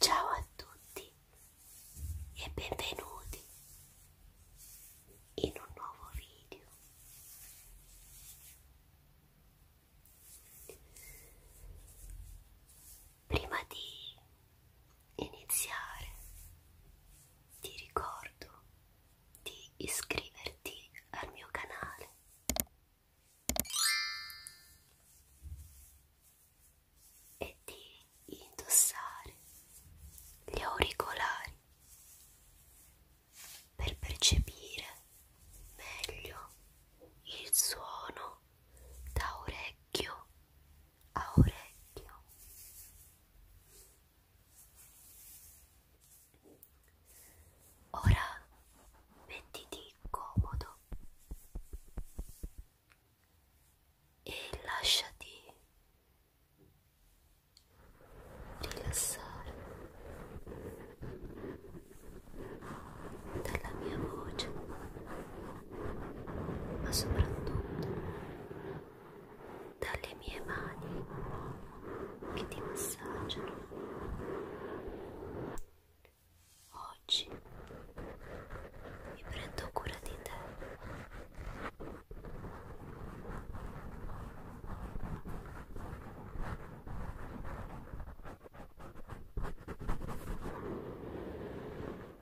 Ciao a tutti e benvenuti in un nuovo video. Prima di iniziare ti ricordo di iscriverti al mio canale e di indossare gli auricolari per percepire meglio il suono da orecchio a orecchio ora mettiti comodo e lasciati rilassare dalla mia voce ma soprattutto dalle mie mani che ti massaggiano. Oggi mi prendo cura di te.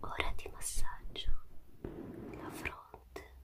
Ora di massaggio la fronte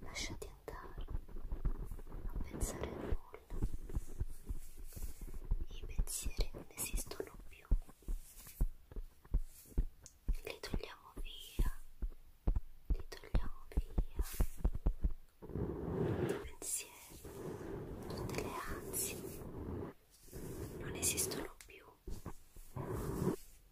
Lasciati andare, non pensare a nulla. I pensieri non esistono più. Li togliamo via, li togliamo via. I pensieri, tutte le ansie non esistono più.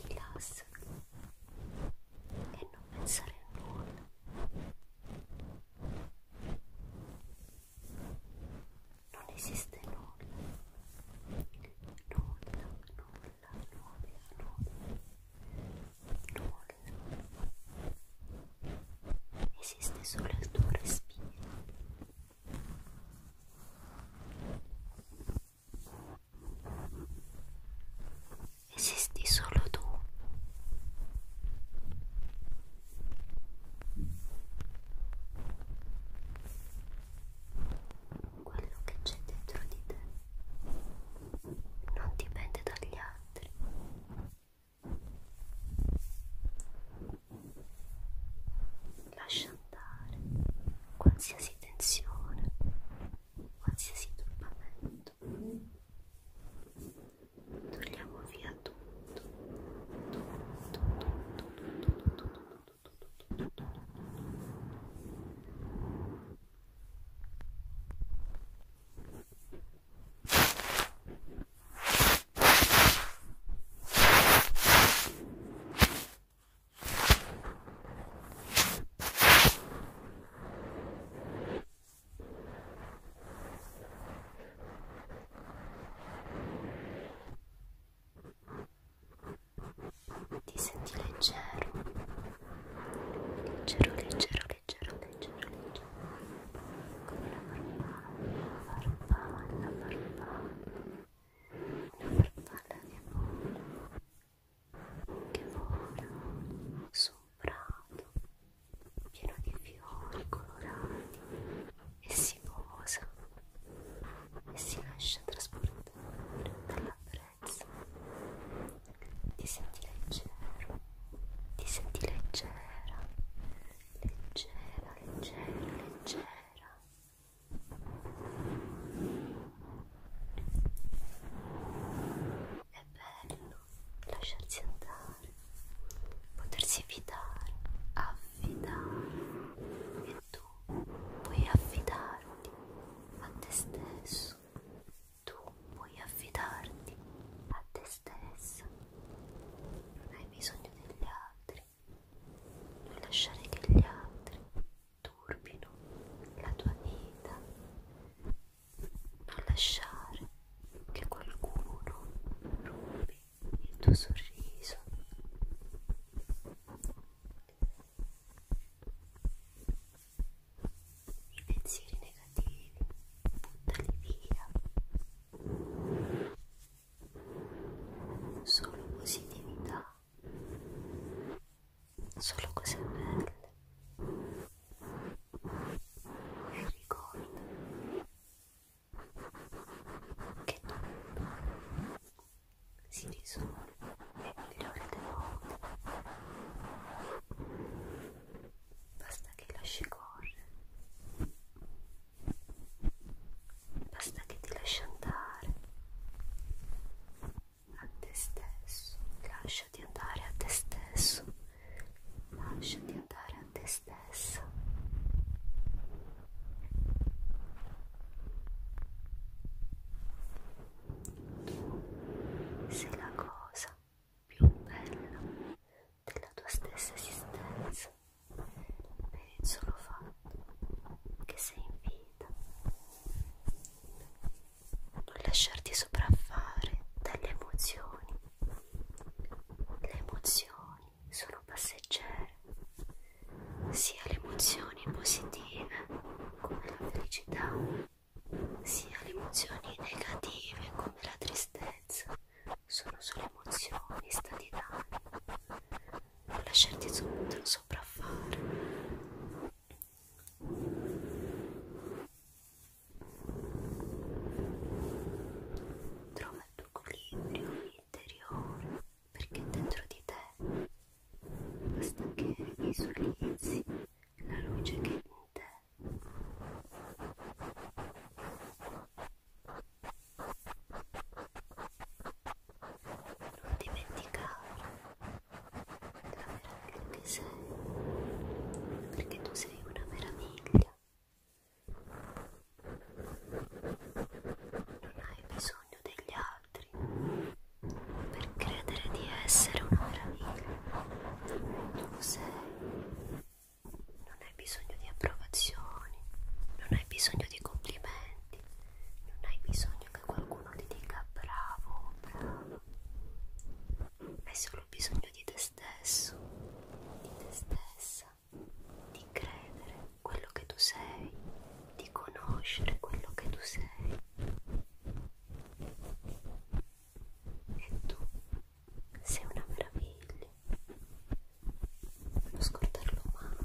Rilassati e non pensare a nulla. Non esiste nulla, nulla, nulla, nulla, nulla. Esiste solo il tuo respiro. Esisti solo tu. Quello che c'è dentro di te non dipende dagli altri. Lascia andare qualsiasi tensione, qualsiasi turbamento. Togliamo via tutto, tutto, tutto, tutto, tutto, tutto, tutto, tutto, tutto, tutto. Ti senti leggero leggero, leggero, leggero, leggero, leggero come la farfalla, la farfalla, la farfalla, la farfalla che vola, che vola su un prato pieno di fiori colorati e si posa e si lascia trasportare dalla brezza leggerezza, ti senti leggero, ti senti leggera, leggera, leggera, leggera. È bello lasciarsi andare, potersi fidare, affidare e tu puoi affidarti a te stesso tu puoi affidarti a te stessa, non hai bisogno degli altri, non lasciare che gli altri turbino la tua vita, non lasciare che qualcuno rubi il tuo sorriso i pensieri negativi, buttali via. Solo positività, solo cose belle. E ricorda che tutto si risolve migliore del mondo basta che lasci correre basta che ti lasci andare a te stesso lasciati andare a te stesso lasciati andare a te stesso sei la cosa più bella della tua stessa esistenza per il solo fatto che sei in vita. Non lasciarti sopraffare dalle emozioni. Le emozioni sono passeggere, sia le emozioni positive come la felicità sia le emozioni negative come la tristezza sono solo emozioni, stati d'animo non lasciarti sopraffare trova il tuo equilibrio interiore perché dentro di te basta che visualizzi la luce che è in te non dimenticare la meraviglia che sei perché tu sei una meraviglia non hai bisogno degli altri per credere di essere una meraviglia. Tu sei, non hai bisogno di approvazioni, non hai bisogno di complimenti, non hai bisogno che qualcuno ti dica bravo, bravo. Hai solo bisogno di te stesso, di te stessa, di credere quello che tu sei, di conoscere quello che tu sei e tu sei una meraviglia, non scordarlo mai.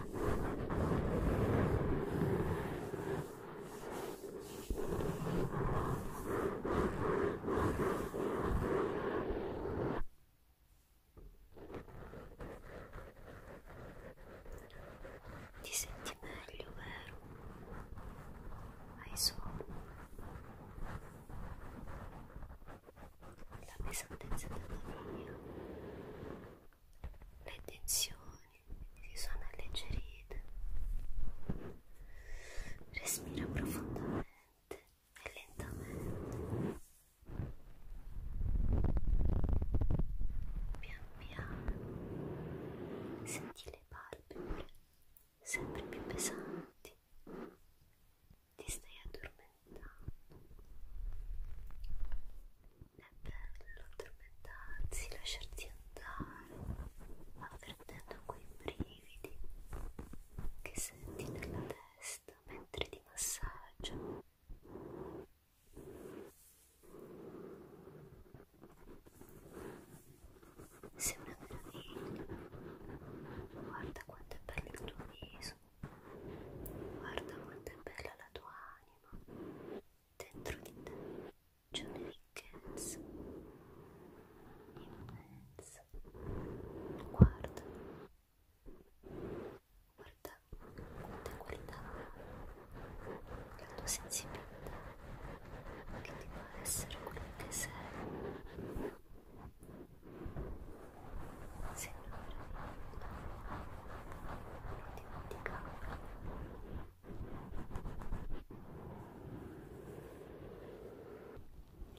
Ti senti meglio, vero? Hai sonno? La pesantezza della mia le tensioni si sono alleggerite. Respira profondamente e lentamente. Pian piano senti le palpebre sempre più pesanti. Ti stai addormentando. È bello addormentarsi, lasciarsi andare, avvertendo quei brividi che senti nella testa mentre ti massaggio. Sei una meraviglia, guarda quanto è bello il tuo viso, guarda quanto è bella la tua anima anima, dentro di te c'è una ricchezza immensa. Guarda, guarda quante qualità la tua sensibilità che ti fa essere quello che sei. Signore, non dimenticare.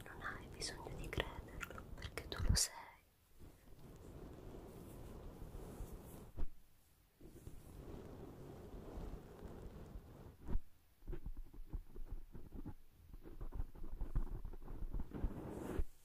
Non hai bisogno di crederlo perché tu lo sei.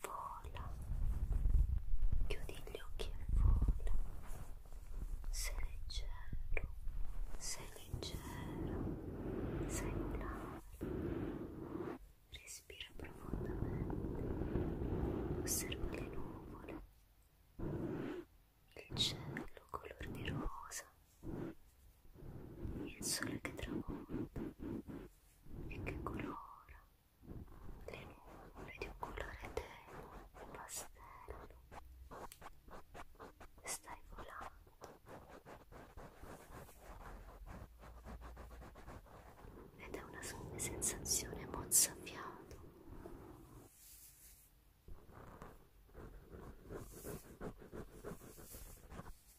Vola, chiudi gli occhi e vola. Sei leggero, sei leggero, sei volare. Respira profondamente, osserva le nuvole, il cielo color di rosa il sole che tramonta e che colora le nuvole di un colore tenue, pastello stai volando ed è una sensazione mozzafiato